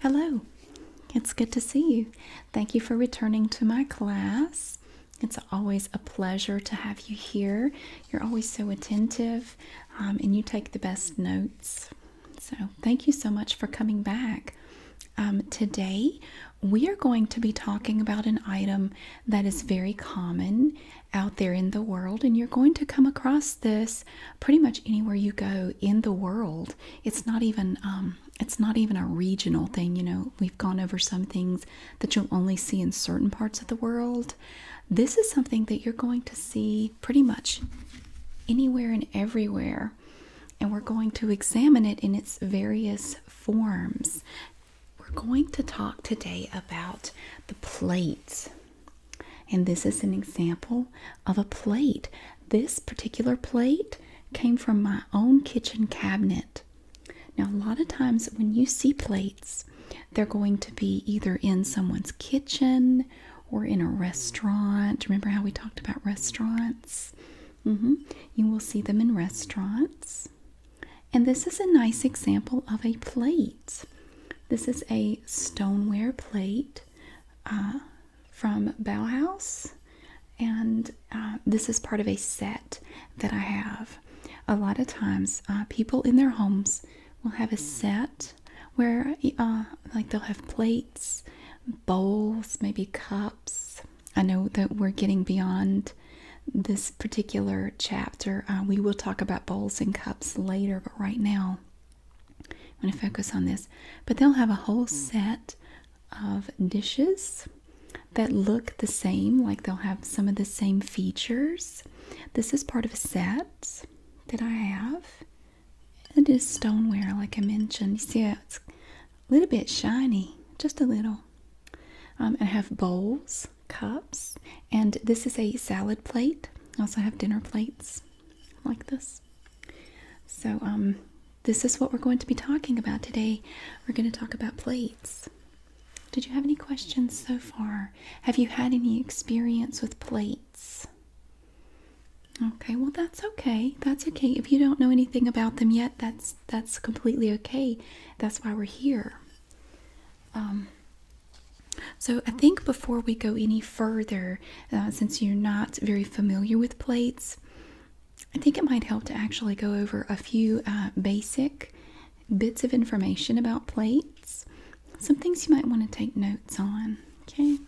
Hello, it's good to see you. Thank you for returning to my class. It's always a pleasure to have you here. You're always so attentive um, and you take the best notes. So, thank you so much for coming back. Um, today, we are going to be talking about an item that is very common out there in the world, and you're going to come across this pretty much anywhere you go in the world. It's not even um, it's not even a regional thing. You know, we've gone over some things that you'll only see in certain parts of the world. This is something that you're going to see pretty much anywhere and everywhere, and we're going to examine it in its various forms. We're going to talk today about the plates. And this is an example of a plate. This particular plate came from my own kitchen cabinet. Now, a lot of times when you see plates, they're going to be either in someone's kitchen or in a restaurant. Remember how we talked about restaurants? Mm-hmm. You will see them in restaurants. And this is a nice example of a plate. This is a stoneware plate. Uh, from Bauhaus, and uh, this is part of a set that I have. A lot of times, uh, people in their homes will have a set where, uh, like, they'll have plates, bowls, maybe cups. I know that we're getting beyond this particular chapter. we will talk about bowls and cups later, but right now, I'm going to focus on this, but they'll have a whole set of dishes that look the same, like they'll have some of the same features. This is part of a set that I have. It is stoneware, like I mentioned. You see, it's a little bit shiny, just a little. Um, I have bowls, cups, and this is a salad plate. I also have dinner plates like this. So, um, this is what we're going to be talking about today. We're going to talk about plates. Did you have any questions so far? Have you had any experience with plates? Okay, well that's okay. That's okay. If you don't know anything about them yet, that's that's completely okay. That's why we're here. Um so I think before we go any further, uh, since you're not very familiar with plates. I think it might help to actually go over a few uh, basic bits of information about plates, some things you might want to take notes on. Okay.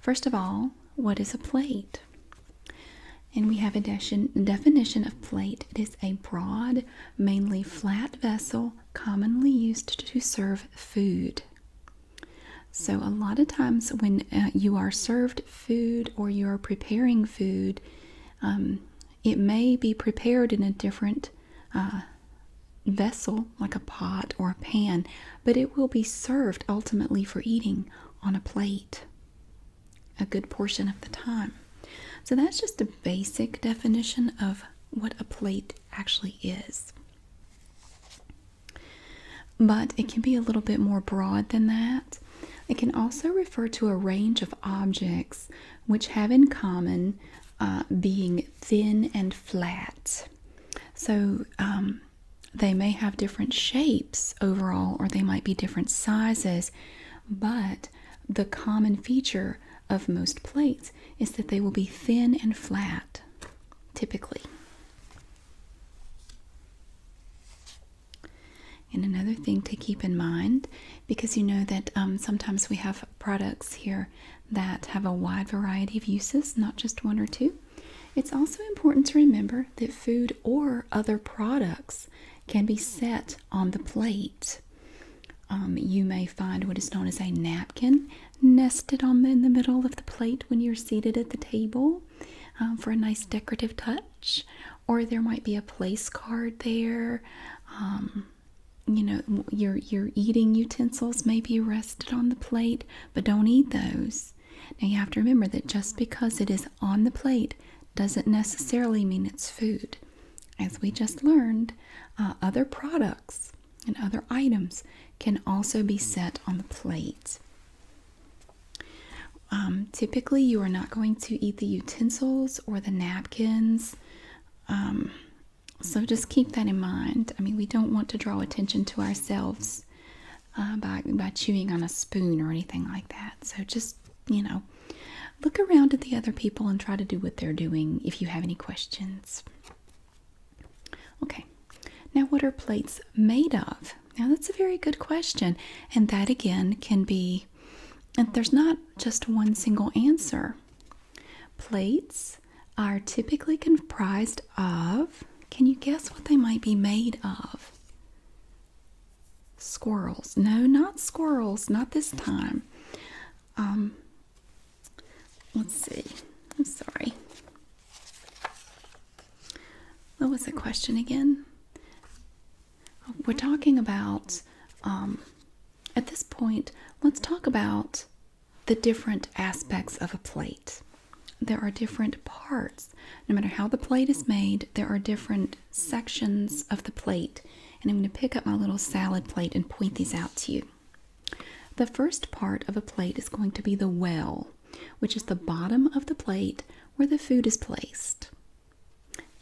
First of all, what is a plate? And we have a definition of plate. It is a broad, mainly flat vessel commonly used to serve food. So, a lot of times when uh, you are served food or you are preparing food, um, it may be prepared in a different uh, vessel, like a pot or a pan, but it will be served ultimately for eating on a plate a good portion of the time. So, that's just a basic definition of what a plate actually is. But it can be a little bit more broad than that. It can also refer to a range of objects which have in common uh, being thin and flat. So um, they may have different shapes overall, or they might be different sizes, but the common feature of most plates is that they will be thin and flat typically. And another thing to keep in mind, because you know that um, sometimes we have products here that have a wide variety of uses, not just one or two. It's also important to remember that food or other products can be set on the plate. Um, you may find what is known as a napkin nested on in the middle of the plate when you're seated at the table um, for a nice decorative touch. Or there might be a place card there. Um, you know, your your eating utensils may be rested on the plate, but don't eat those. Now you have to remember that just because it is on the plate doesn't necessarily mean it's food. As we just learned, uh, other products and other items can also be set on the plate. Um, typically, you are not going to eat the utensils or the napkins. Um, so just keep that in mind. I mean, we don't want to draw attention to ourselves uh, by, by chewing on a spoon or anything like that. So just, you know, look around at the other people and try to do what they're doing if you have any questions. Okay, now what are plates made of? Now that's a very good question, and that again can be, and there's not just one single answer. Plates are typically comprised of, can you guess what they might be made of? Squirrels. No, not squirrels, not this time. Um, let's see. I'm sorry. What was the question again? We're talking about, um, at this point, let's talk about the different aspects of a plate. There are different parts. No matter how the plate is made, there are different sections of the plate. And I'm going to pick up my little salad plate and point these out to you. The first part of a plate is going to be the well which is the bottom of the plate where the food is placed.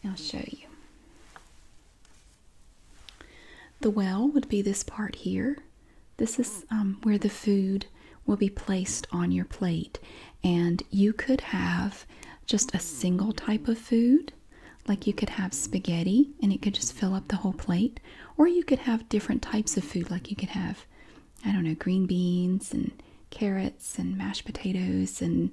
I'll show you. The well would be this part here. This is um, where the food will be placed on your plate, and you could have just a single type of food. Like you could have spaghetti and it could just fill up the whole plate, or you could have different types of food, like you could have I don't know, green beans and carrots and mashed potatoes and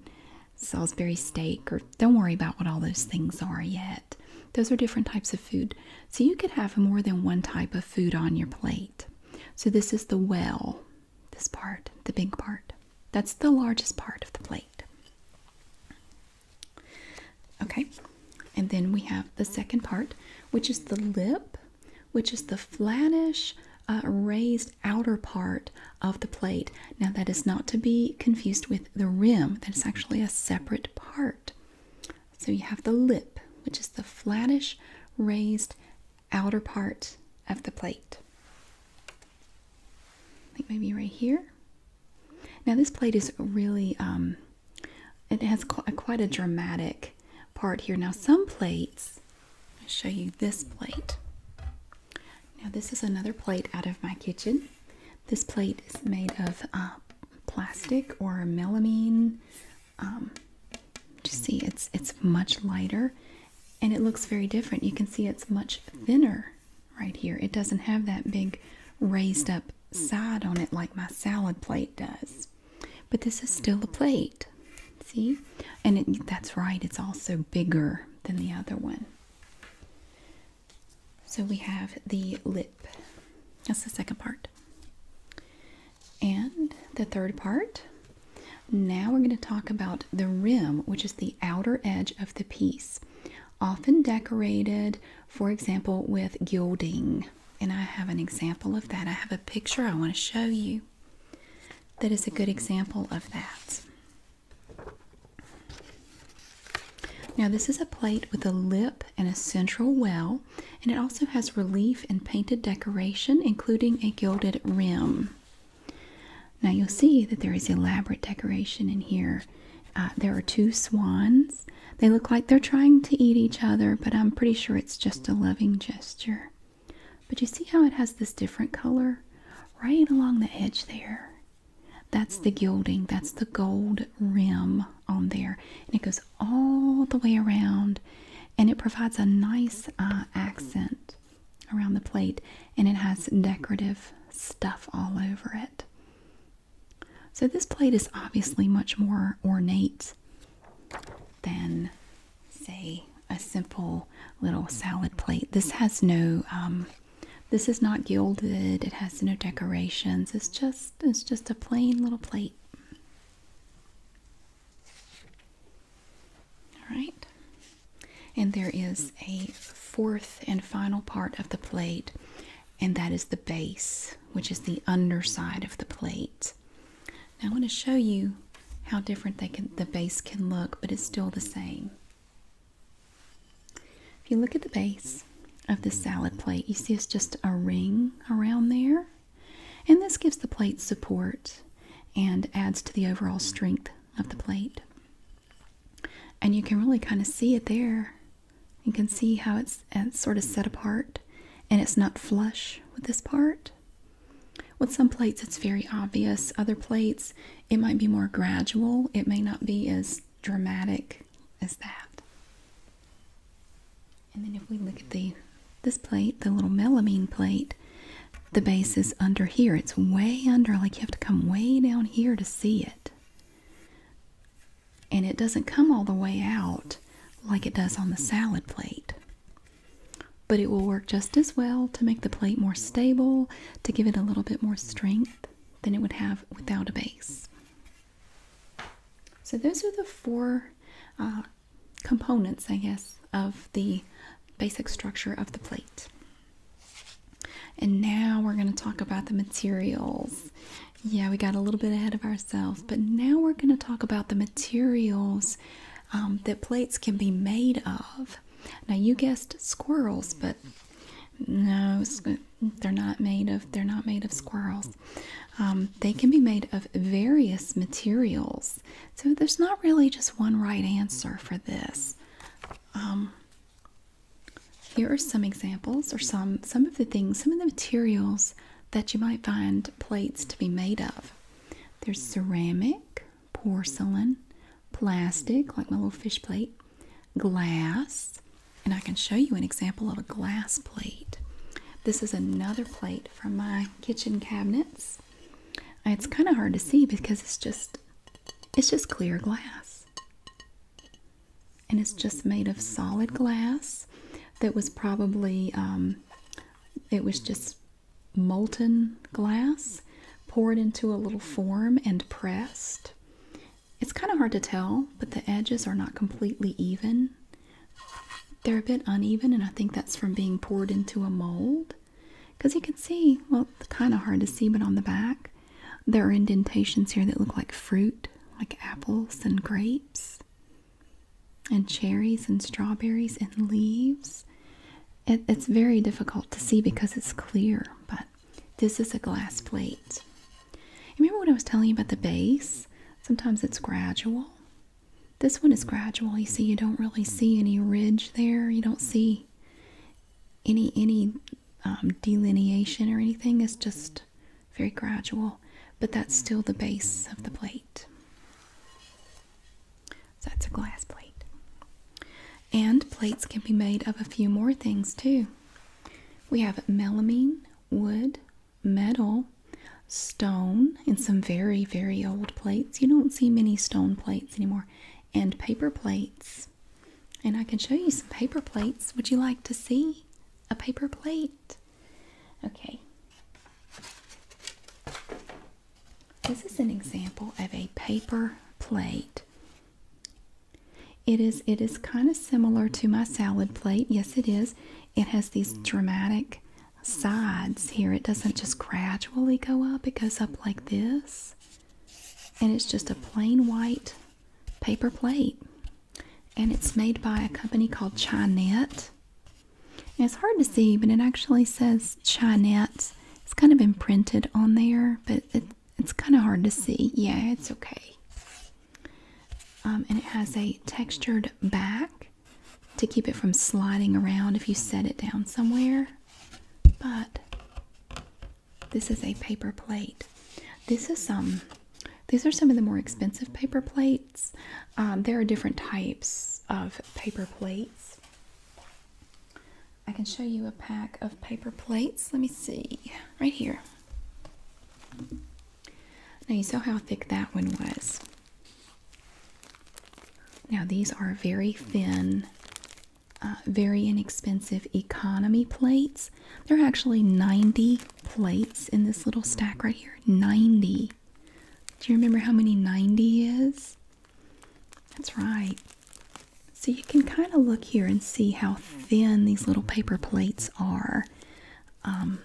Salisbury steak, or don't worry about what all those things are yet. Those are different types of food. So you could have more than one type of food on your plate. So this is the well, this part, the big part. That's the largest part of the plate. Okay, and then we have the second part, which is the lip which is the flattish uh, raised outer part of the plate. Now, that is not to be confused with the rim, that's actually a separate part. So, you have the lip, which is the flattish raised outer part of the plate. I think maybe right here. Now, this plate is really um, it has quite a dramatic part here. Now, some plates, I'll show you this plate. Now, this is another plate out of my kitchen. This plate is made of uh, plastic or melamine. You um, see, it's it's much lighter, and it looks very different. You can see it's much thinner right here. It doesn't have that big raised up side on it like my salad plate does. But this is still a plate. See? And that's right, it's also bigger than the other one. So we have the lip. That's the second part. And the third part. Now we're going to talk about the rim, which is the outer edge of the piece, often decorated, for example, with gilding and I have an example of that. I have a picture I want to show you that is a good example of that. Now, this is a plate with a lip and a central well, and it also has relief and painted decoration, including a gilded rim. Now, you'll see that there is elaborate decoration in here. Uh, there are two swans. They look like they're trying to eat each other, but I'm pretty sure it's just a loving gesture. But you see how it has this different color right along the edge there? That's the gilding, that's the gold rim on there. And it goes all the way around and it provides a nice uh, accent around the plate and it has decorative stuff all over it. So this plate is obviously much more ornate than, say, a simple little salad plate. This has no, um, this is not gilded. It has no decorations. It's just, it's just a plain little plate. All right. And there is a fourth and final part of the plate, and that is the base, which is the underside of the plate i want to show you how different the base can look, but it's still the same. If you look at the base of this salad plate, you see it's just a ring around there. And this gives the plate support and adds to the overall strength of the plate. And you can really kind of see it there. You can see how it's sort of set apart and it's not flush with this part. With some plates, it's very obvious. Other plates, it might be more gradual. It may not be as dramatic as that. And then if we look at the this plate, the little melamine plate, the base is under here. It's way under, like you have to come way down here to see it. And it doesn't come all the way out like it does on the salad plate. But it will work just as well to make the plate more stable, to give it a little bit more strength than it would have without a base. So, those are the four uh, components, I guess, of the basic structure of the plate. And now we're going to talk about the materials. Yeah, we got a little bit ahead of ourselves, but now we're going to talk about the materials um, that plates can be made of. Now you guessed squirrels, but no, they're not made of. They're not made of squirrels. Um, they can be made of various materials. So there's not really just one right answer for this. Um, here are some examples, or some some of the things, some of the materials that you might find plates to be made of. There's ceramic, porcelain, plastic, like my little fish plate, glass, and I can show you an example of a glass plate. This is another plate from my kitchen cabinets. It's kind of hard to see because it's just it's just clear glass. And it's just made of solid glass that was probably um, it was just molten glass poured into a little form and pressed. It's kind of hard to tell, but the edges are not completely even. They're a bit uneven, and I think that's from being poured into a mold. Because you can see, well, kind of hard to see, but on the back, there are indentations here that look like fruit, like apples and grapes and cherries and strawberries and leaves. it's very difficult to see because it's clear, but this is a glass plate. Remember what I was telling you about the base? Sometimes it's gradual. This one is gradual. You see, you don't really see any ridge there. You don't see any any um, delineation or anything. It's just very gradual, but that's still the base of the plate. So that's a glass plate. And plates can be made of a few more things too. We have melamine, wood, metal, stone, and some very, very old plates. You don't see many stone plates anymore, and paper plates. And I can show you some paper plates. Would you like to see a paper plate? Okay. This is an example of a paper plate. It is it is kind of similar to my salad plate. Yes, it is. It has these dramatic sides here. It doesn't just gradually go up. It goes up like this. And it's just a plain white paper plate. And it's made by a company called Chinette it's hard to see, but it actually says Chinette. It's kind of imprinted on there, but it's kind of hard to see. Yeah, it's okay. Um, and it has a textured back to keep it from sliding around if you set it down somewhere. But this is a paper plate. This is some. Um, these are some of the more expensive paper plates. Um, there are different types of paper plates. I can show you a pack of paper plates. Let me see, right here. Now, you saw how thick that one was. Now, these are very thin, uh, very inexpensive economy plates. There are actually 90 plates in this little stack right here. 90. Do you remember how many 90 is? That's right. So you can kind of look here and see how thin these little paper plates are. Um,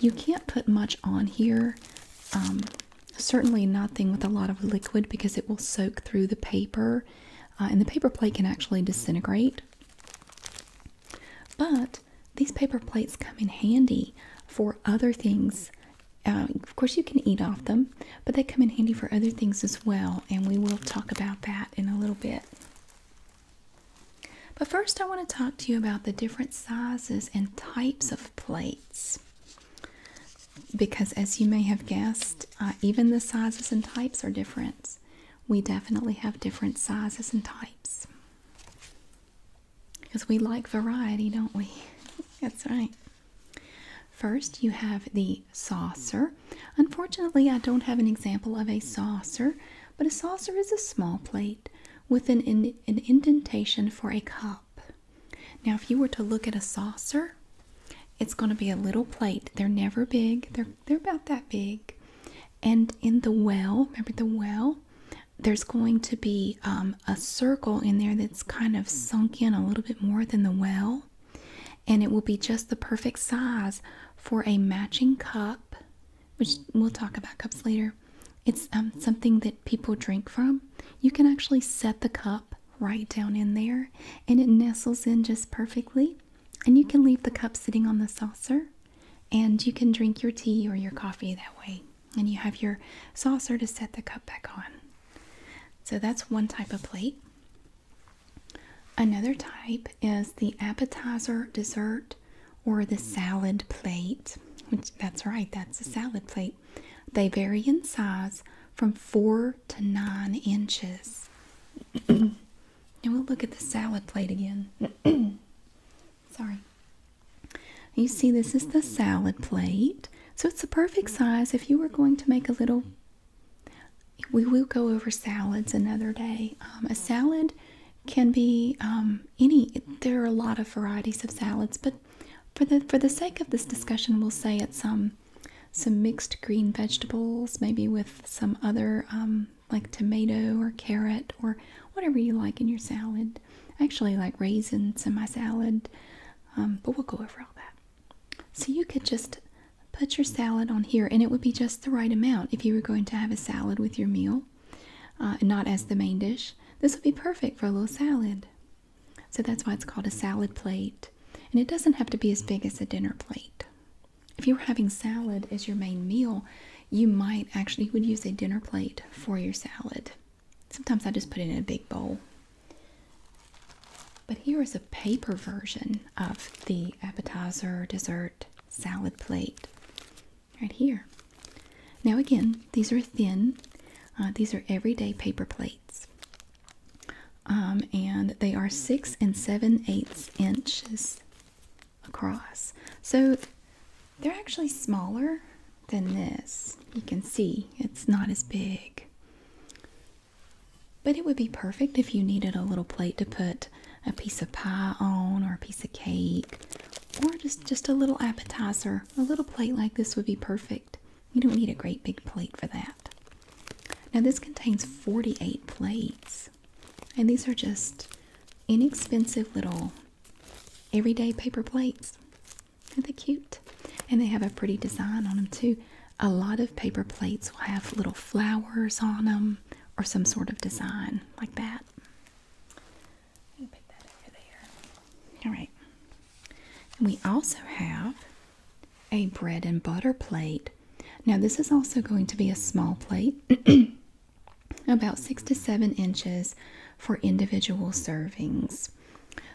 you can't put much on here. Um, certainly nothing with a lot of liquid because it will soak through the paper uh, and the paper plate can actually disintegrate. But these paper plates come in handy for other things um, of course, you can eat off them, but they come in handy for other things as well, and we will talk about that in a little bit. But first, I want to talk to you about the different sizes and types of plates. Because, as you may have guessed, uh, even the sizes and types are different. We definitely have different sizes and types. Because we like variety, don't we? That's right. First, you have the saucer. Unfortunately, I don't have an example of a saucer, but a saucer is a small plate with an, indentation for a cup. Now, if you were to look at a saucer, it's going to be a little plate. They're never big. They're they're about that big. And in the well, remember the well, there's going to be um, a circle in there that's kind of sunk in a little bit more than the well, and it will be just the perfect size for a matching cup, which we'll talk about cups later. It's um, something that people drink from. You can actually set the cup right down in there, and it nestles in just perfectly. And you can leave the cup sitting on the saucer, and you can drink your tea or your coffee that way and you have your saucer to set the cup back on. So that's one type of plate. Another type is the appetizer, dessert, or the salad plate. Which, that's right, that's a salad plate. They vary in size from four to nine inches. and we'll look at the salad plate again. Sorry. You see, this is the salad plate. So it's the perfect size if you were going to make a little. We will go over salads another day. Um, a salad can be um, any. There are a lot of varieties of salads, but for the for the sake of this discussion, we'll say it's um, some mixed green vegetables, maybe with some other um, like tomato or carrot or whatever you like in your salad actually like raisins in my salad, um, but we'll go over all that. So you could just put your salad on here, and it would be just the right amount if you were going to have a salad with your meal, uh, not as the main dish. This would be perfect for a little salad. So that's why it's called a salad plate. And it doesn't have to be as big as a dinner plate. If you were having salad as your main meal, you might actually would use a dinner plate for your salad. Sometimes I just put it in a big bowl. But here is a paper version of the appetizer, dessert, salad plate right here. Now, again, these are thin, uh, these are everyday paper plates. Um, and they are six and seven eighths inches across. So they're actually smaller than this. You can see it's not as big. But it would be perfect if you needed a little plate to put a piece of pie on or a piece of cake or just, just a little appetizer. A little plate like this would be perfect. You don't need a great big plate for that. Now this contains 48 plates. And these are just inexpensive little everyday paper plates are they cute? And they have a pretty design on them too. A lot of paper plates will have little flowers on them or some sort of design like that. Pick that over there. All right. we also have a bread and butter plate. Now, this is also going to be a small plate, about six to seven inches for individual servings.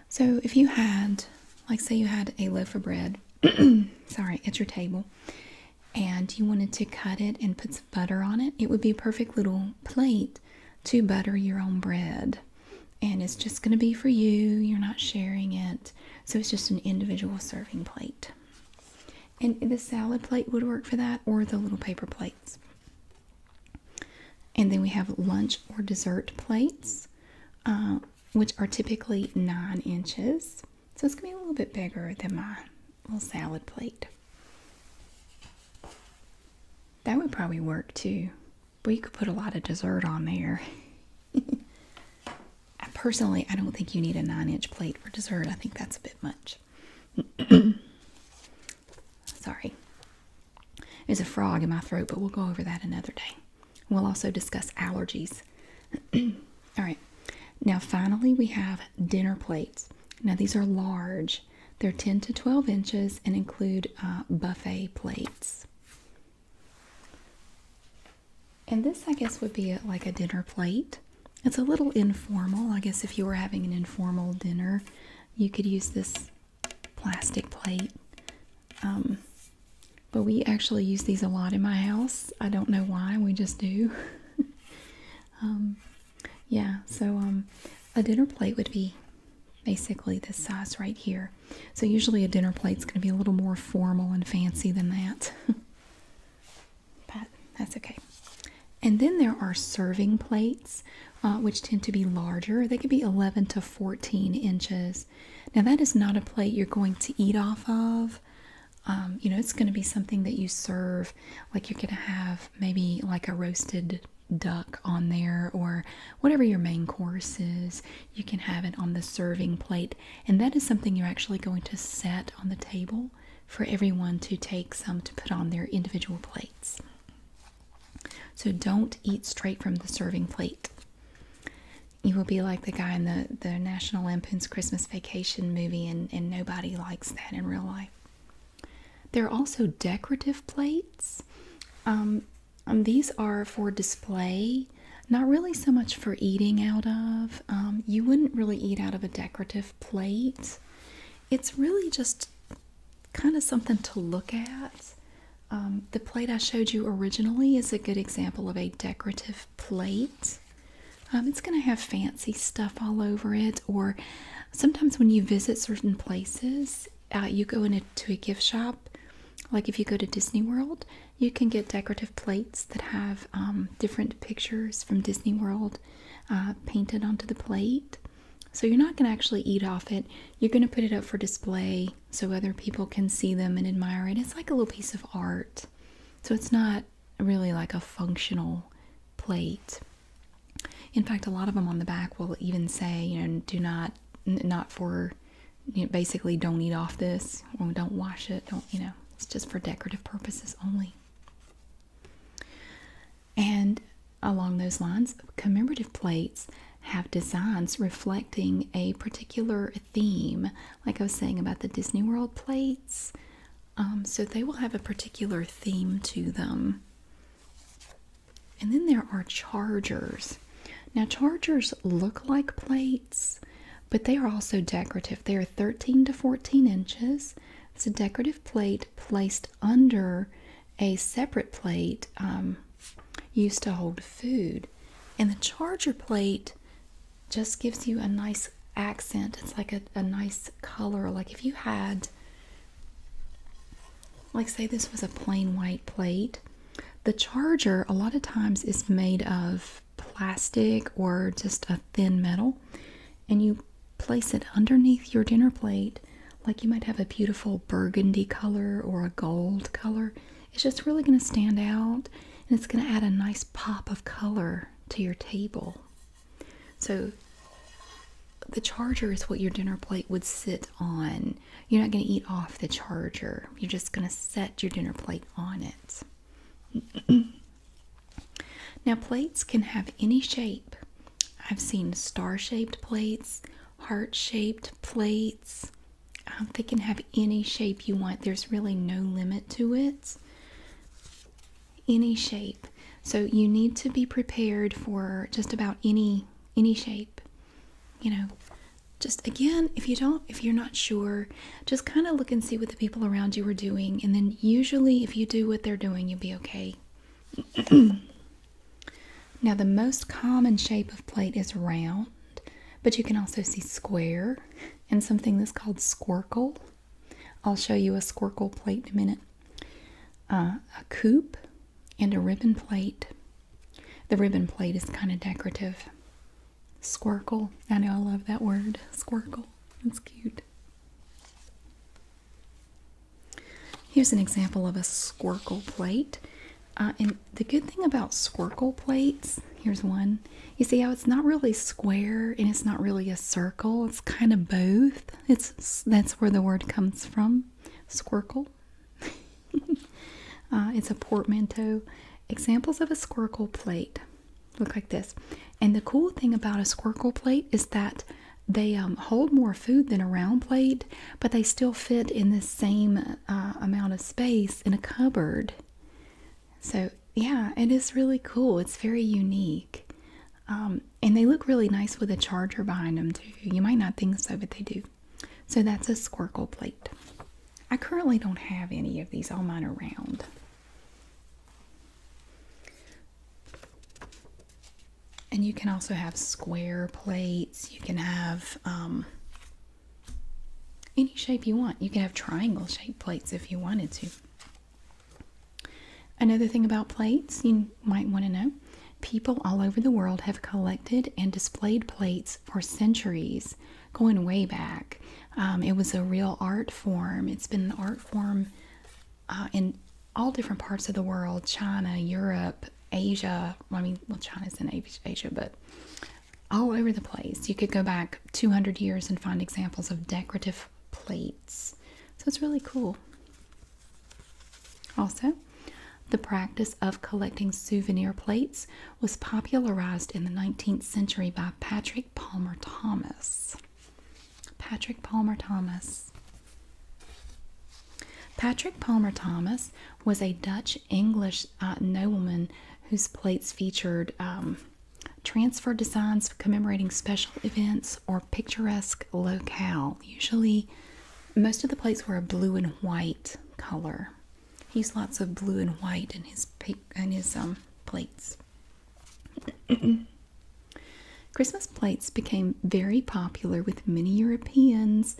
So if you had, like, say you had a loaf of bread, sorry, it's your table, and you wanted to cut it and put some butter on it, it would be a perfect little plate to butter your own bread. And it's just going to be for you, you're not sharing it. So it's just an individual serving plate. And the salad plate would work for that, or the little paper plates. And then we have lunch or dessert plates, uh, which are typically nine inches. So it's going to be a little bit bigger than my little salad plate. That would probably work too. But you could put a lot of dessert on there. personally, I don't think you need a nine inch plate for dessert. I think that's a bit much. Sorry. There's a frog in my throat, but we'll go over that another day. We'll also discuss allergies. All right. Now, finally, we have dinner plates. Now, these are large. They're 10 to 12 inches and include uh, buffet plates. And this, I guess, would be uh, like a dinner plate. It's a little informal. I guess if you were having an informal dinner, you could use this plastic plate. Um, but we actually use these a lot in my house. I don't know why, we just do. Um, yeah, so um, a dinner plate would be basically this size right here. So usually a dinner plate is going to be a little more formal and fancy than that. but that's okay. And then there are serving plates. Uh, which tend to be larger. They could be 11 to 14 inches. Now, that is not a plate you're going to eat off of. Um, you know, it's going to be something that you serve, like you're going to have maybe like a roasted duck on there or whatever your main course is. You can have it on the serving plate, and that is something you're actually going to set on the table for everyone to take some to put on their individual plates. So don't eat straight from the serving plate. You will be like the guy in the, the National Lampoon's Christmas Vacation movie, and, nobody likes that in real life. There are also decorative plates. Um, um, these are for display, not really so much for eating out of. Um, you wouldn't really eat out of a decorative plate. It's really just kind of something to look at. Um, the plate I showed you originally is a good example of a decorative plate. Um, it's going to have fancy stuff all over it, or sometimes when you visit certain places, uh, you go into a gift shop. Like if you go to Disney World, you can get decorative plates that have um, different pictures from Disney World uh, painted onto the plate. So you're not going to actually eat off it. You're going to put it up for display so other people can see them and admire it. It's like a little piece of art. So it's not really like a functional plate. In fact, a lot of them on the back will even say, you know, do not, not for, basically don't eat off this or don't wash it. Don't, you know, it's just for decorative purposes only. And along those lines, commemorative plates have designs reflecting a particular theme, like I was saying about the Disney World plates. Um, so they will have a particular theme to them. And then there are chargers. Now, chargers look like plates, but they are also decorative. They are 13 to 14 inches. It's a decorative plate placed under a separate plate um, used to hold food. And the charger plate just gives you a nice accent. It's like a, nice color. Like if you had, like, say this was a plain white plate, the charger a lot of times is made of plastic or just a thin metal, and you place it underneath your dinner plate like you might have a beautiful burgundy color or a gold color. It's just really going to stand out and it's going to add a nice pop of color to your table. So the charger is what your dinner plate would sit on. You're not going to eat off the charger. You're just going to set your dinner plate on it. now, plates can have any shape. I've seen star shaped plates, heart shaped plates, um, they can have any shape you want. There's really no limit to it. Any shape. So you need to be prepared for just about any any shape. You know, just again, if you don't if you're not sure, just kind of look and see what the people around you are doing and then usually if you do what they're doing, you'll be okay. Now the most common shape of plate is round, but you can also see square and something that's called squircle. I'll show you a squircle plate in a minute. Uh, a coupe and a ribbon plate. The ribbon plate is kind of decorative. Squircle. I know I love that word. Squircle. It's cute. Here's an example of a squircle plate. Uh, and the good thing about Squircle plates, here's one. You see how it's not really square and it's not really a circle. It's kind of both. It's that's where the word comes from, Squircle. Uh, it's a portmanteau. Examples of a Squircle plate look like this. And the cool thing about a Squircle plate is that they um, hold more food than a round plate but they still fit in the same uh, amount of space in a cupboard. So, yeah, it is really cool. It's very unique. Um, and they look really nice with a charger behind them, too. You might not think so, but they do. So, that's a squircle plate. I currently don't have any of these, all mine are round. And you can also have square plates. You can have um, any shape you want. You can have triangle shaped plates if you wanted to. Another thing about plates you might want to know people all over the world have collected and displayed plates for centuries, going way back. Um, it was a real art form, it's been an art form uh, in all different parts of the world China, Europe, Asia. Well, I mean, well, China's in Asia, but all over the place. You could go back 200 years and find examples of decorative plates. So it's really cool. Also, the practice of collecting souvenir plates was popularized in the 19th century by Patrick Palmer Thomas. Patrick Palmer Thomas. Patrick Palmer Thomas was a Dutch English uh, nobleman whose plates featured um, transfer designs commemorating special events or picturesque locale. Usually, most of the plates were a blue and white color. He used lots of blue and white in his in his um, plates. Christmas plates became very popular with many Europeans.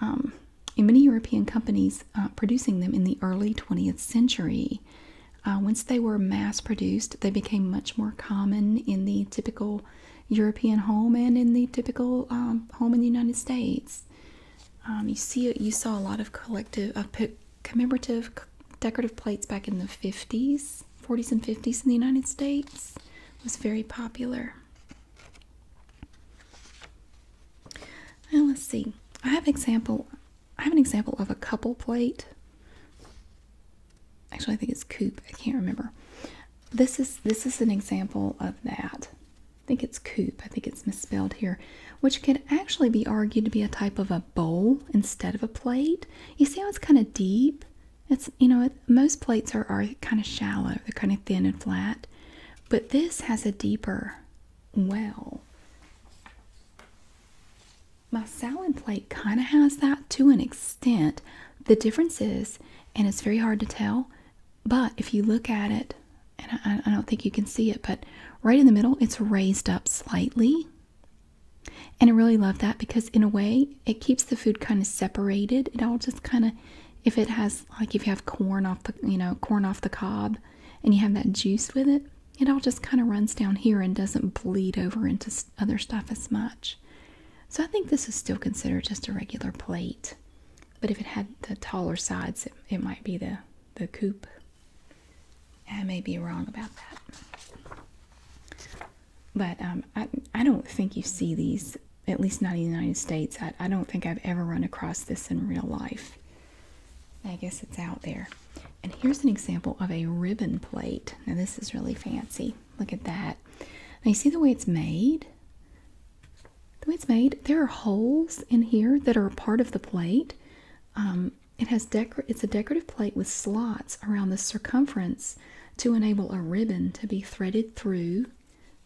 Um, in many European companies uh, producing them in the early 20th century. Uh, once they were mass produced, they became much more common in the typical European home and in the typical um, home in the United States. Um, you see, you saw a lot of collective, commemorative, decorative plates back in the 50s, 40s, and 50s in the United States. It was very popular. Now let's see. I have example. I have an example of a couple plate. Actually, I think it's coupe. I can't remember. This is this is an example of that. I think it's coupe. I think it's misspelled here, which could actually be argued to be a type of a bowl instead of a plate. You see how it's kind of deep? It's you know most plates are are kind of shallow. They're kind of thin and flat. But this has a deeper well. My salad plate kind of has that to an extent. The difference is, and it's very hard to tell, but if you look at it, and I, don't think you can see it, but right in the middle, it's raised up slightly. And I really love that because, in a way, it keeps the food kind of separated. It all just kind of if it has like if you have corn off the you know corn off the cob and you have that juice with it it all just kind of runs down here and doesn't bleed over into other stuff as much so i think this is still considered just a regular plate but if it had the taller sides it, might be the the coupe i may be wrong about that but um, I, I don't think you see these at least not in the United States. I, I don't think I've ever run across this in real life. I guess it's out there. And here's an example of a ribbon plate. Now, this is really fancy. Look at that. Now, you see the way it's made? The way it's made, there are holes in here that are part of the plate. Um, it has decor it's a decorative plate with slots around the circumference to enable a ribbon to be threaded through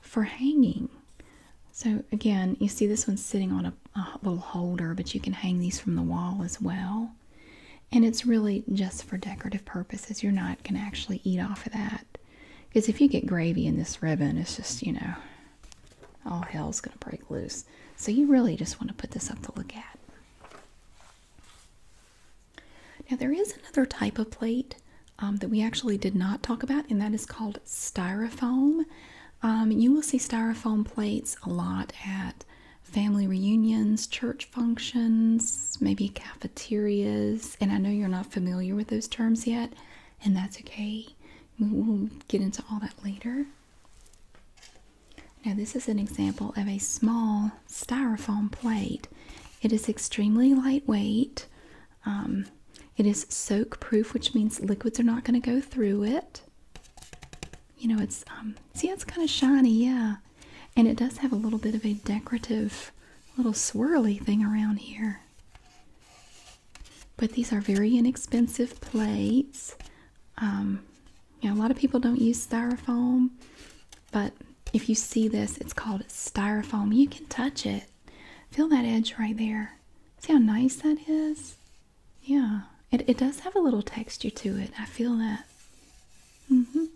for hanging. So again, you see this one's sitting on a, little holder, but you can hang these from the wall as well. And it's really just for decorative purposes. You're not going to actually eat off of that. Because if you get gravy in this ribbon, it's just, you know, all hell's going to break loose. So you really just want to put this up to look at. Now, there is another type of plate um, that we actually did not talk about, and that is called styrofoam. Um, you will see styrofoam plates a lot at family reunions, church functions, maybe cafeterias. And I know you're not familiar with those terms yet, and that's okay. We'll get into all that later. Now, this is an example of a small styrofoam plate. It is extremely lightweight. Um, it is soak proof, which means liquids are not going to go through it. You know, it's, um, see, it's kind of shiny, yeah. And it does have a little bit of a decorative little swirly thing around here. But these are very inexpensive plates. Um, you know, a lot of people don't use styrofoam, but if you see this, it's called styrofoam. You can touch it. Feel that edge right there. See how nice that is? Yeah, it, it does have a little texture to it. I feel that. Mm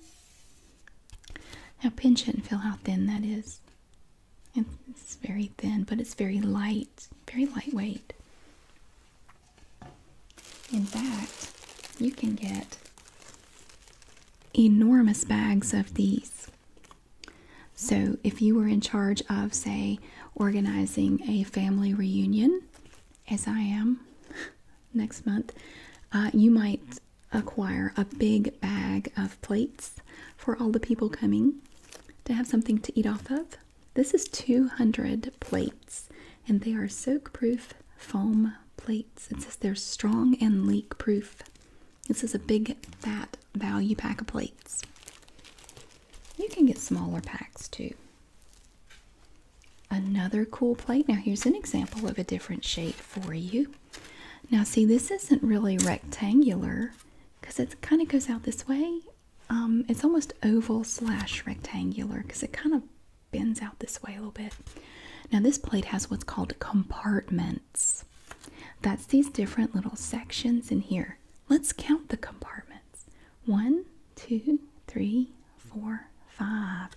Now pinch it and feel how thin that is. It's very thin, but it's very light, very lightweight. In fact, you can get enormous bags of these so, if you were in charge of, say, organizing a family reunion, as I am next month, uh, you might acquire a big bag of plates for all the people coming to have something to eat off of. This is 200 plates, and they are soak proof foam plates. It says they're strong and leak proof. This is a big fat value pack of plates. You can get smaller packs too. Another cool plate. Now, here's an example of a different shape for you. Now, see, this isn't really rectangular because it kind of goes out this way. Um, it's almost oval slash rectangular because it kind of bends out this way a little bit. Now, this plate has what's called compartments. That's these different little sections in here. Let's count the compartments. One, two, three, four, five.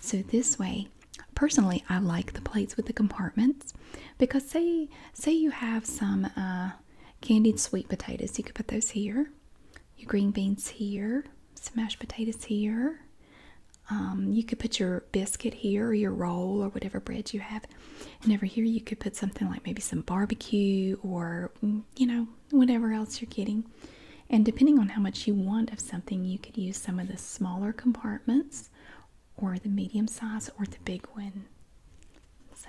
So this way, personally, I like the plates with the compartments because say say you have some uh, candied sweet potatoes, you could put those here. Your green beans here, some mashed potatoes here. Um, you could put your biscuit here, or your roll, or whatever bread you have and over here, you could put something like maybe some barbecue or, mm, you know, whatever else you're getting. And depending on how much you want of something, you could use some of the smaller compartments or the medium size or the big one. So,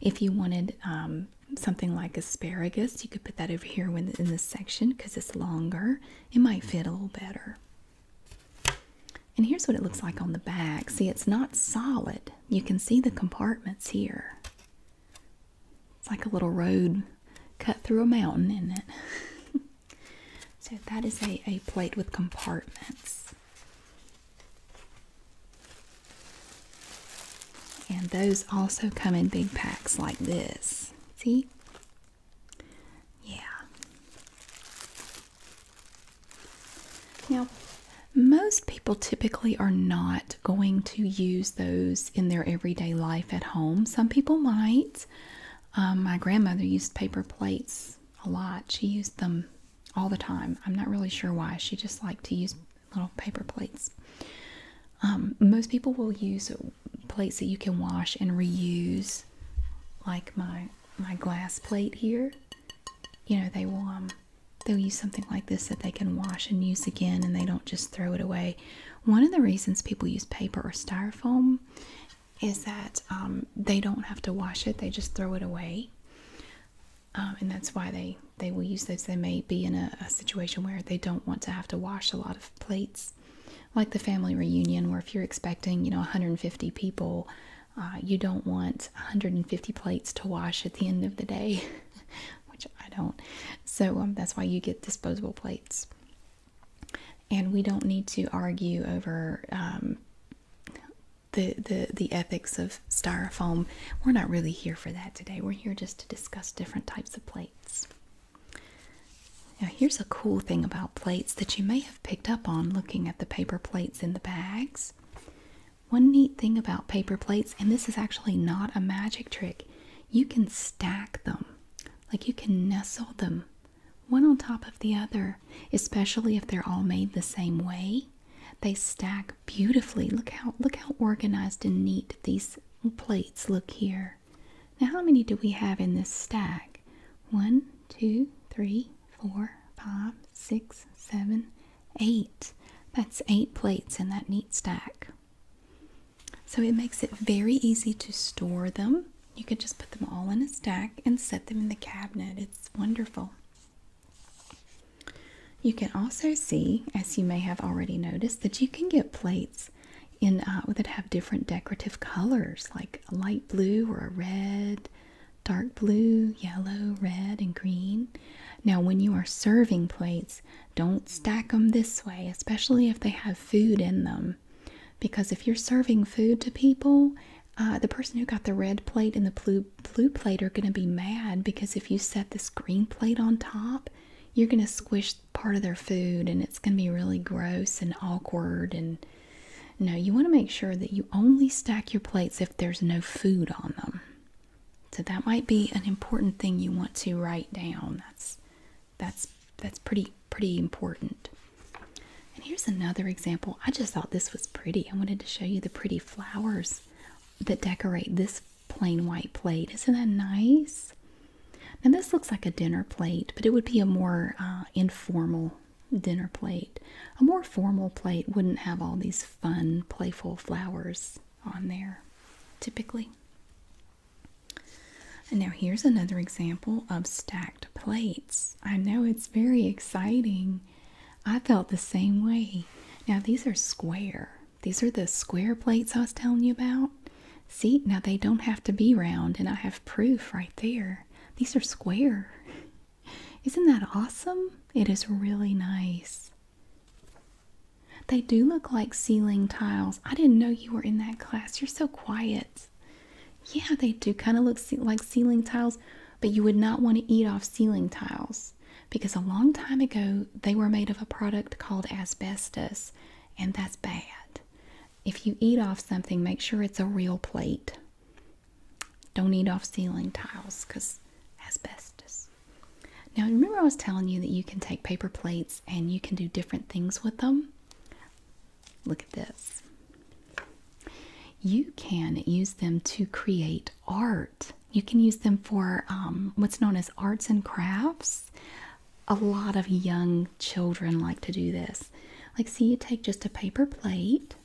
if you wanted um, something like asparagus, you could put that over here in this section because it's longer, it might fit a little better. And here's what it looks like on the back. See, it's not solid. You can see the compartments here. It's like a little road cut through a mountain, isn't it? so that is a, a plate with compartments. And those also come in big packs like this. See? Yeah. Now, most people typically are not going to use those in their everyday life at home. Some people might. Um, my grandmother used paper plates a lot, she used them all the time. I'm not really sure why. She just liked to use little paper plates. Um, most people will use plates that you can wash and reuse, like my my glass plate here. You know, they will um, they'll use something like this that they can wash and use again, and they don't just throw it away. One of the reasons people use paper or styrofoam is that um, they don't have to wash it; they just throw it away, um, and that's why they they will use those. They may be in a, a situation where they don't want to have to wash a lot of plates, like the family reunion, where if you're expecting, you know, 150 people uh, you don't want 150 plates to wash at the end of the day, which I don't. So um, that's why you get disposable plates. And we don't need to argue over um, the, the, the ethics of styrofoam. We're not really here for that today. We're here just to discuss different types of plates. Now, here's a cool thing about plates that you may have picked up on looking at the paper plates in the bags. One neat thing about paper plates, and this is actually not a magic trick, you can stack them. Like you can nestle them one on top of the other, especially if they're all made the same way. They stack beautifully. Look how look how organized and neat these plates look here. Now how many do we have in this stack? One, two, three, four, five, six, seven, eight. That's eight plates in that neat stack. So it makes it very easy to store them. You can just put them all in a stack and set them in the cabinet. It's wonderful. You can also see, as you may have already noticed, that you can get plates in uh, that have different decorative colors, like a light blue or a red dark blue, yellow, red, and green. Now, when you are serving plates, don't stack them this way, especially if they have food in them. Because if you're serving food to people, uh, the person who got the red plate and the blue, blue plate are going to be mad because if you set this green plate on top, you're going to squish part of their food and it's going to be really gross and awkward and no, you want to make sure that you only stack your plates if there's no food on them. So that might be an important thing you want to write down. That's that's that's pretty pretty important. And here's another example. I just thought this was pretty. I wanted to show you the pretty flowers that decorate this plain white plate. Isn't that nice? Now this looks like a dinner plate, but it would be a more uh, informal dinner plate. A more formal plate wouldn't have all these fun, playful flowers on there, typically. And now here's another example of stacked plates. I know it's very exciting. I felt the same way. Now these are square. These are the square plates I was telling you about. See, now they don't have to be round, and I have proof right there. These are square. Isn't that awesome? It is really nice. They do look like ceiling tiles. I didn't know you were in that class. You're so quiet. Yeah, they do kind of look like ceiling tiles, but you would not want to eat off ceiling tiles because a long time ago they were made of a product called asbestos, and that's bad. If you eat off something, make sure it's a real plate. Don't eat off ceiling tiles because asbestos. Now, remember, I was telling you that you can take paper plates and you can do different things with them. Look at this. You can use them to create art. You can use them for um, what's known as arts and crafts. A lot of young children like to do this. Like, see, you take just a paper plate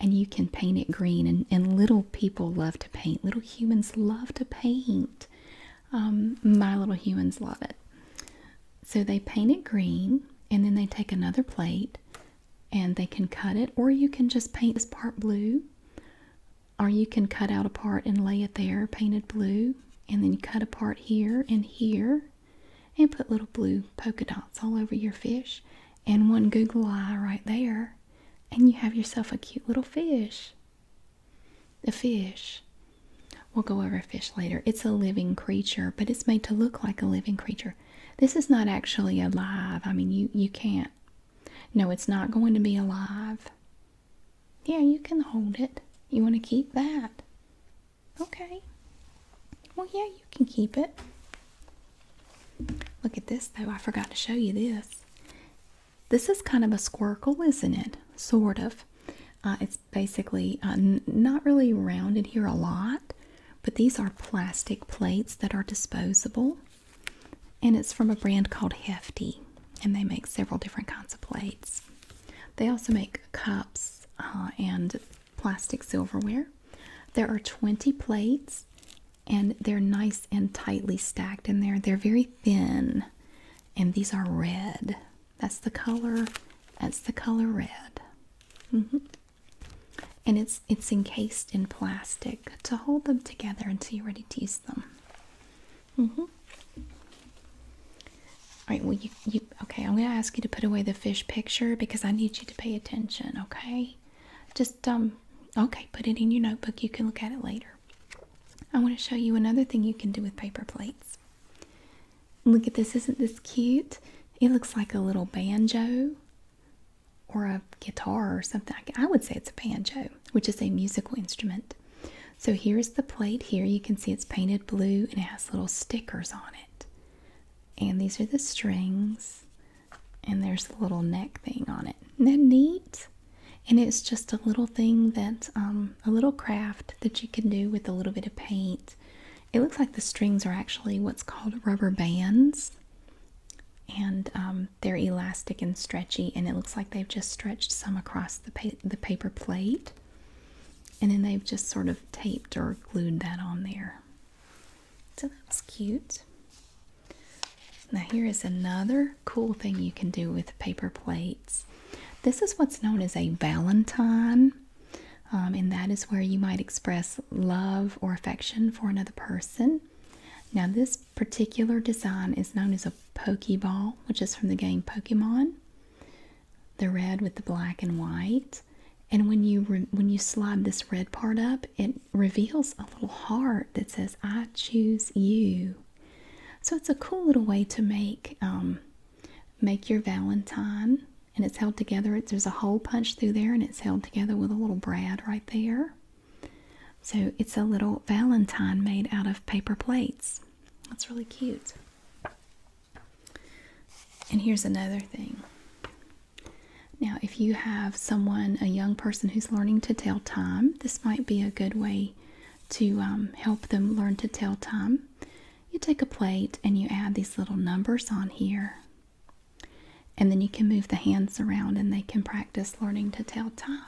and you can paint it green. And, little people love to paint, little humans love to paint. Um, my little humans love it. So they paint it green, and then they take another plate and they can cut it, or you can just paint this part blue, or you can cut out a part and lay it there painted blue, and then you cut a part here and here and put little blue polka dots all over your fish and one Google eye right there, and you have yourself a cute little fish. A fish. We'll go over fish later. It's a living creature, but it's made to look like a living creature. This is not actually alive. I mean, you, you can't. No, it's not going to be alive. Yeah, you can hold it. You want to keep that? Okay. Well, yeah, you can keep it. Look at this though, I forgot to show you this. This is kind of a squircle, isn't it? Sort of. Uh, it's basically uh, not really rounded here a lot, but these are plastic plates that are disposable. And it's from a brand called Hefty, and they make several different kinds of plates. They also make cups uh, and plastic silverware. There are 20 plates and they're nice and tightly stacked in there. They're very thin, and these are red. That's the color. That's the color red. Mm-hmm. And it's it's encased in plastic to hold them together until you're ready to use them. Mm-hmm. All right. Well, you you okay? I'm gonna ask you to put away the fish picture because I need you to pay attention. Okay? Just um, okay, put it in your notebook. You can look at it later. I want to show you another thing you can do with paper plates. Look at this. Isn't this cute? It looks like a little banjo or a guitar or something. I would say it's a banjo, which is a musical instrument. So here's the plate here. You can see it's painted blue and it has little stickers on it. And these are the strings and there's the little neck thing on it. that neat? And it's just a little thing that's um, a little craft that you can do with a little bit of paint. It looks like the strings are actually what's called rubber bands, and um, they're elastic and stretchy. And it looks like they've just stretched some across the paper plate, and then they've just sort of taped or glued that on there. So that's cute. Now here is another cool thing you can do with paper plates. This is what's known as a valentine. Um, and that is where you might express love or affection for another person. Now, this particular design is known as a Pokeball, which is from the game Pokemon. The red with the black and white, and when you when you slide this red part up, it reveals a little heart that says, I choose you. So it's a cool little way to make um, make your Valentine, and it's held together. It's, there's a hole punched through there, and it's held together with a little brad right there. So it's a little Valentine made out of paper plates. That's really cute. And here's another thing. Now, if you have someone, a young person who's learning to tell time, this might be a good way to um, help them learn to tell time. You take a plate and you add these little numbers on here, and then you can move the hands around and they can practice learning to tell time.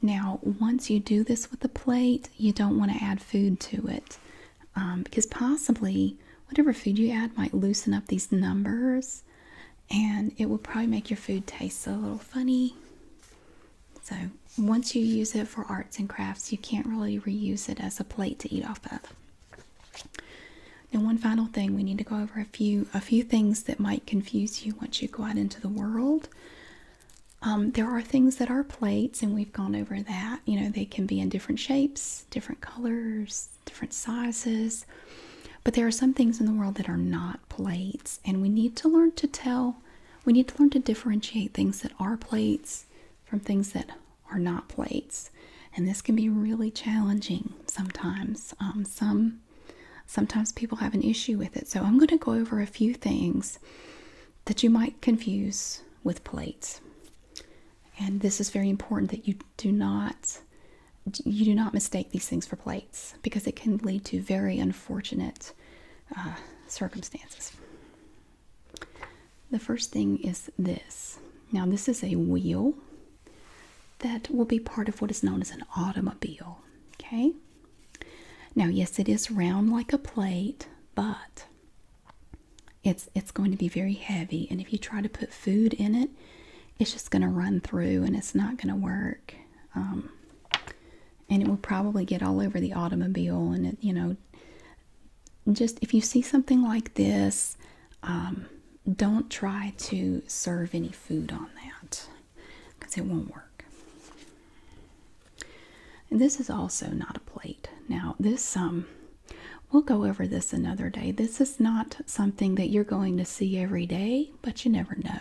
Now, once you do this with the plate, you don't want to add food to it um, because possibly whatever food you add might loosen up these numbers and it will probably make your food taste a little funny. So, once you use it for arts and crafts, you can't really reuse it as a plate to eat off of. Now, one final thing, we need to go over a few a few things that might confuse you once you go out into the world. Um, there are things that are plates, and we've gone over that. You know, they can be in different shapes, different colors, different sizes. But there are some things in the world that are not plates, and we need to learn to tell, we need to learn to differentiate things that are plates from things that are not plates. And this can be really challenging sometimes. Um, some sometimes people have an issue with it. So I'm going to go over a few things that you might confuse with plates. And this is very important that you do not you do not mistake these things for plates because it can lead to very unfortunate uh, circumstances. The first thing is this. Now, this is a wheel that will be part of what is known as an automobile. Okay? Now, yes, it is round like a plate, but it's it's going to be very heavy and if you try to put food in it, it's just going to run through and it's not going to work. Um, and it will probably get all over the automobile. And, it, you know, just if you see something like this, um, don't try to serve any food on that because it won't work. And this is also not a plate. Now, this, um, we'll go over this another day. This is not something that you're going to see every day, but you never know.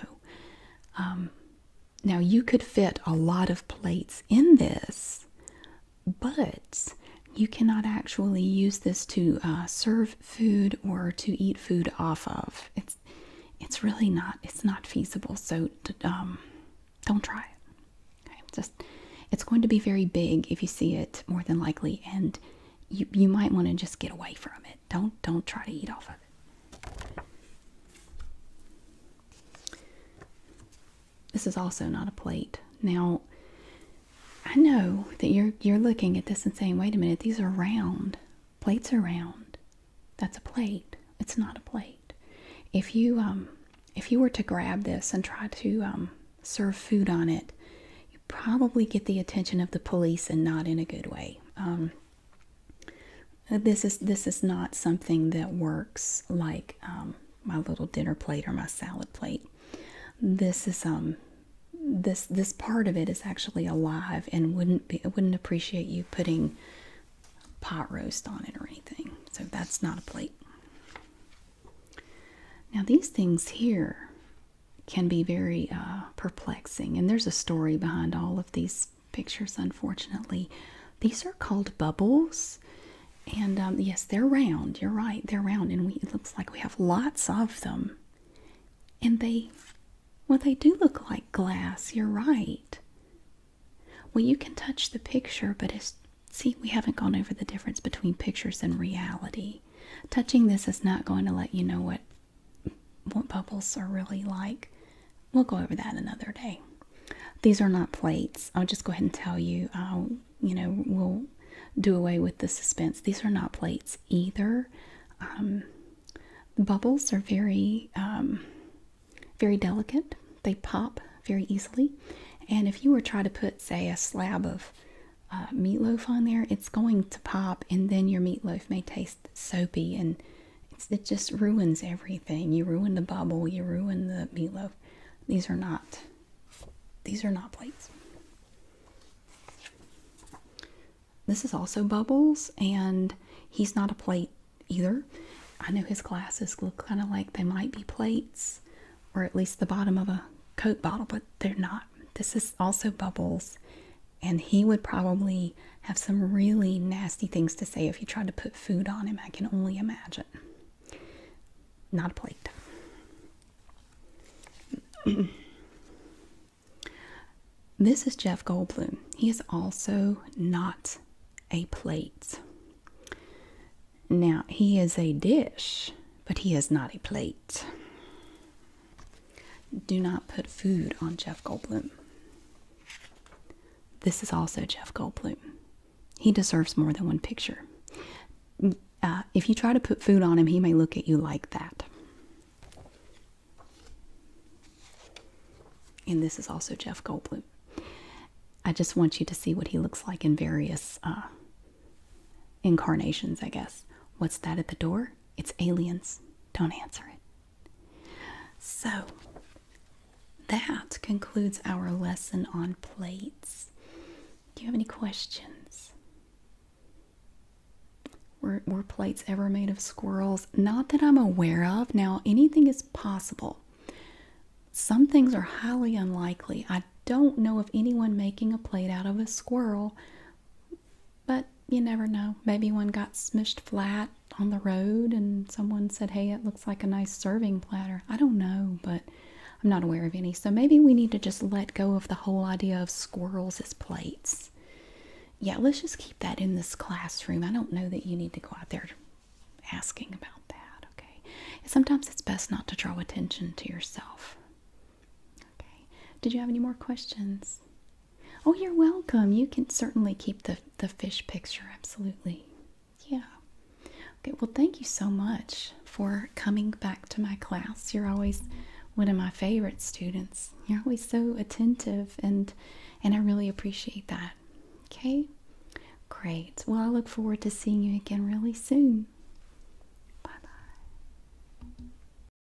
Um, now, you could fit a lot of plates in this, but you cannot actually use this to uh, serve food or to eat food off of. It's it's really not it's not feasible. So um, don't try it. just it's going to be very big if you see it more than likely, and you, you might want to just get away from it. Don't don't try to eat off of it. This is also not a plate. Now I know that you're you're looking at this and saying, wait a minute, these are round. Plates are round. That's a plate. It's not a plate. If you um if you were to grab this and try to um, serve food on it, probably get the attention of the police and not in a good way. Um, this is this is not something that works like um, my little dinner plate or my salad plate. This is um this this part of it is actually alive and wouldn't be wouldn't appreciate you putting pot roast on it or anything. So that's not a plate. Now these things here can be very uh, perplexing. And there's a story behind all of these pictures, unfortunately. These are called bubbles. And um, yes, they're round. You're right, they're round. And we, it looks like we have lots of them. And they, well, they do look like glass. You're right. Well, you can touch the picture, but it's, see, we haven't gone over the difference between pictures and reality. Touching this is not going to let you know what what bubbles are really like. We'll go over that another day. These are not plates. I'll just go ahead and tell you. you know, we'll do away with the suspense. These are not plates either. the um, bubbles are very, um, very delicate. They pop very easily. And if you were trying to put, say, a slab of uh, meatloaf on there, it's going to pop, and then your meatloaf may taste soapy, and it just ruins everything. You ruin the bubble, you ruin the meatloaf. These are not, these are not plates. This is also bubbles, and he's not a plate either. I know his glasses look kind of like they might be plates, or at least the bottom of a Coke bottle, but they're not. This is also bubbles and he would probably have some really nasty things to say if you tried to put food on him. I can only imagine. Not a plate. this is Jeff Goldblum. He is also not a plate. Now, he is a dish, but he is not a plate. Do not put food on Jeff Goldblum. This is also Jeff Goldblum. He deserves more than one picture. Uh, if you try to put food on him, he may look at you like that. And this is also Jeff Goldblum. I just want you to see what he looks like in various uh, incarnations, I guess. What's that at the door? It's aliens. Don't answer it. So, that concludes our lesson on plates. Do you have any questions? were plates ever made of squirrels? Not that I'm aware of. Now, anything is possible. Some things are highly unlikely. I don't know of anyone making a plate out of a squirrel, but you never know. Maybe one got smushed flat on the road and someone said, hey, it looks like a nice serving platter. I don't know, but I'm not aware of any. So maybe we need to just let go of the whole idea of squirrels as plates. Yeah, let's just keep that in this classroom. I don't know that you need to go out there asking about that, okay? Sometimes it's best not to draw attention to yourself. Okay. Did you have any more questions? Oh, you're welcome. You can certainly keep the, the fish picture. Absolutely. Yeah. Okay, well, thank you so much for coming back to my class. You're always one of my favorite students. You're always so attentive and and I really appreciate that. Okay? Great. Well, I look forward to seeing you again really soon. Bye-bye.